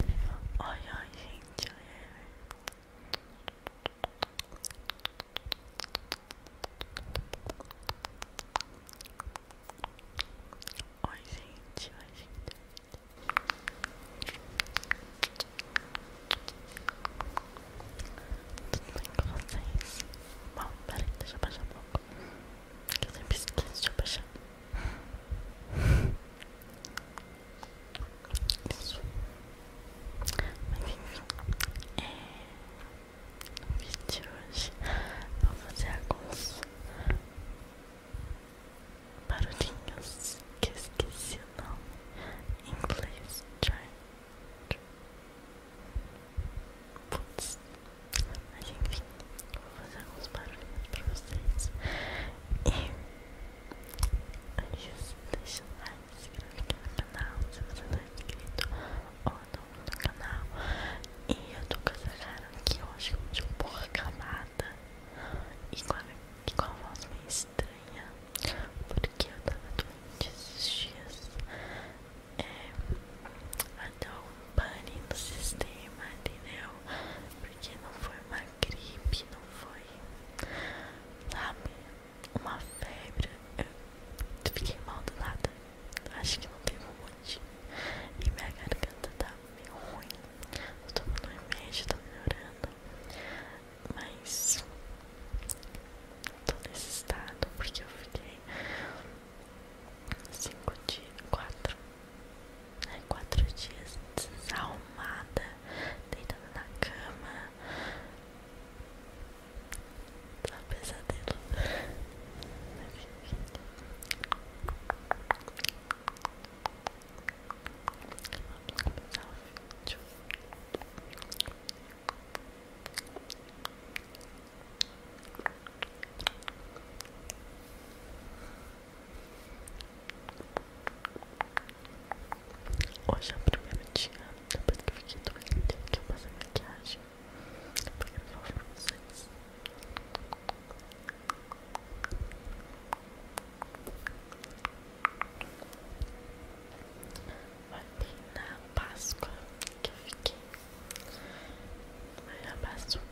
Ai ai, gente. Ai, gente, ai, gente. Tudo bem com vocês? Bom, peraí, deixa eu baixar um pouco. Que eu sempre esqueço de Isso. no vídeo hoje vou fazer alguns barulhinhos que esqueci o nome em inglês. Try. Putz vou fazer alguns barulhos pra vocês. E just deixa o like, se inscreve aqui no canal se você não é inscrito ou novo no canal. E eu tô com essa cara aqui hoje de um pouco acabada e com a, e com a voz meio estranha, porque eu tava doente esses dias. É, até um pane no sistema, entendeu? porque não foi uma gripe, não foi, sabe, uma febre. Eu fiquei mal do nada. Acho que não teve muito E minha garganta tá meio ruim. Eu tô no remédio, tá melhorando. Mas tô nesse estado porque eu fiquei cinco dias, quatro, Quatro dias desalmada deitada na cama. Tá pesadelo. Hoje é o primeiro dia, depois que eu fiquei doente, que eu passei maquiagem pra gravar pra vocês. Olha na Páscoa que eu fiquei. Mas já passou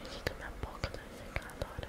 Gente, minha boca tá secada agora.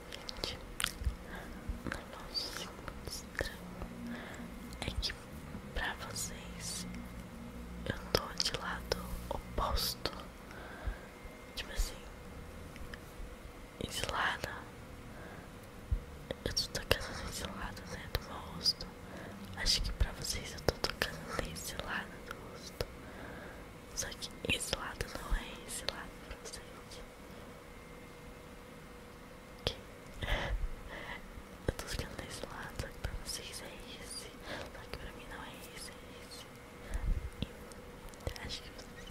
gente, no nosso segundo estranho é que pra vocês eu tô de lado oposto. Tipo assim, ensilada. Eu tô tocando as ensiladas né, do meu rosto. Acho que pra vocês eu tô tocando a ensilada do rosto. Só que esse lado não é esse lado pra vocês aqui. Eu tô olhando desse lado, só que pra vocês é esse. Só que pra mim não é esse, é esse. Eu acho que vocês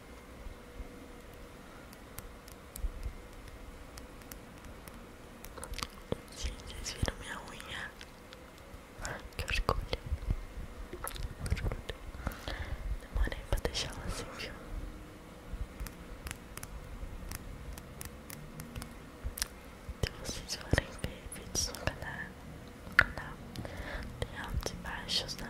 sim vocês viram minha unha? Que orgulho. orgulho. Demorei pra deixar ela assim, viu? Se vocês forem ver vídeos no canal, no canal tem altos e baixos, né?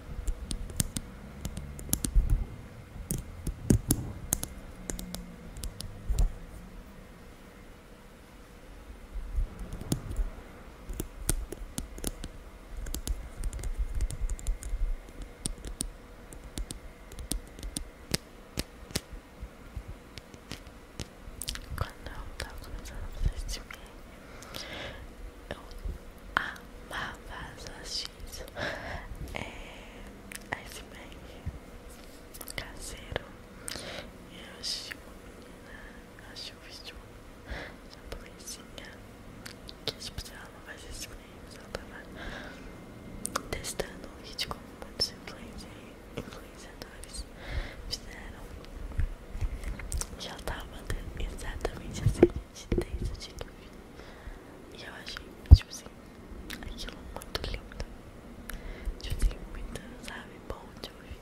quando eu estava começando a fazer esse filme, eu amava as disso. É iceberg caseiro. Eu assisti uma menina, acho um vídeo japonesinha, que tipo, se ela não faz esse mas ela tava tá testando o vídeo como muitos influenciadores fizeram. já ela tava exatamente assim gente desde o que eu E eu achei, tipo assim, aquilo muito lindo. Tipo assim, muito, sabe, bom de ouvir.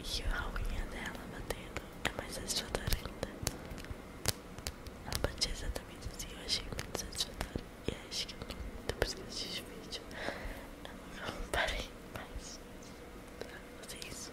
E a unha dela batendo é mais satisfatória ainda. Ela batia exatamente assim, eu achei muito satisfatória. E acho que não que eu assisti o vídeo, eu não parei mais pra fazer isso.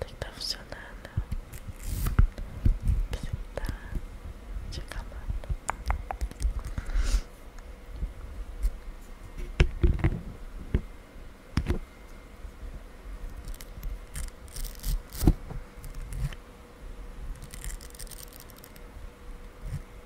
Tem que tá funcionando. Né? Você tá te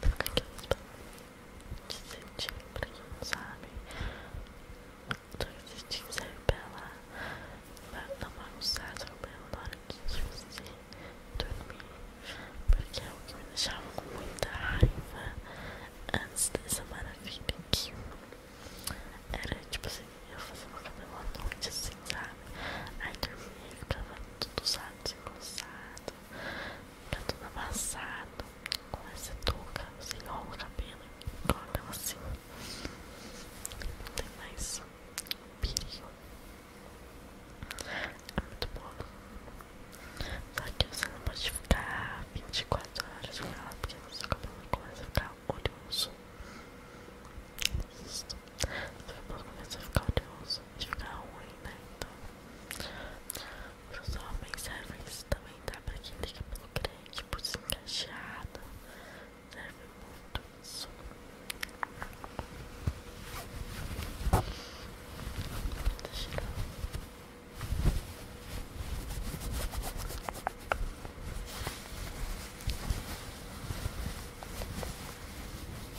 Fica quieto. De cetim, pra quem não sabe. O cetim serve pra não bagunçar seu cabelo na hora que você dormir. Porque é o que me deixava com muita raiva antes dessa maravilha aqui. Era tipo assim, eu fazia uma cabelo à noite assim, sabe? Aí dormia, ficava tudo santo e desengonçado, tá tudo amassado. Com essa touca, você enrola o cabelo e ela assim. Não tem mais perigo. É muito bom. Só que você não pode ficar 24 horas com ela, porque seu cabelo começa a ficar oleoso susto. Depois começa a ficar odioso e ficar ruim, né? Então, os homens servem isso também, tá? Pra quem liga pelo crente, por desencaixado, serve muito isso. Deixa eu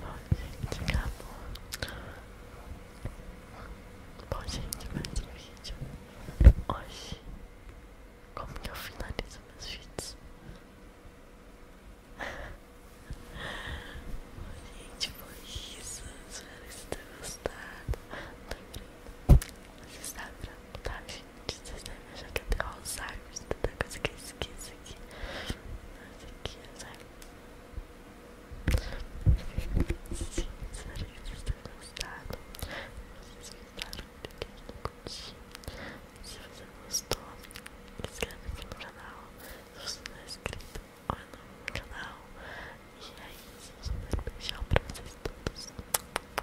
Bom, gente, acabou. Bom, gente, mais um vídeo. Hoje, como que eu finalizo meus vídeos? Bom, gente, foi isso. Espero que vocês tenham gostado. Não tá lembrando. Vocês sabem, tá? Gente? vocês devem achar que eu tenho Alzheimer, tanta coisa que eu esqueço aqui. Mas aqui, Alzheimer. Sim, espero que vocês tenham gostado. Vocês gostaram do que eu curti. Se você gostou, inscreve aqui no canal. Se você não é inscrito, olha no canal. E é isso, um super beijão pra vocês todos.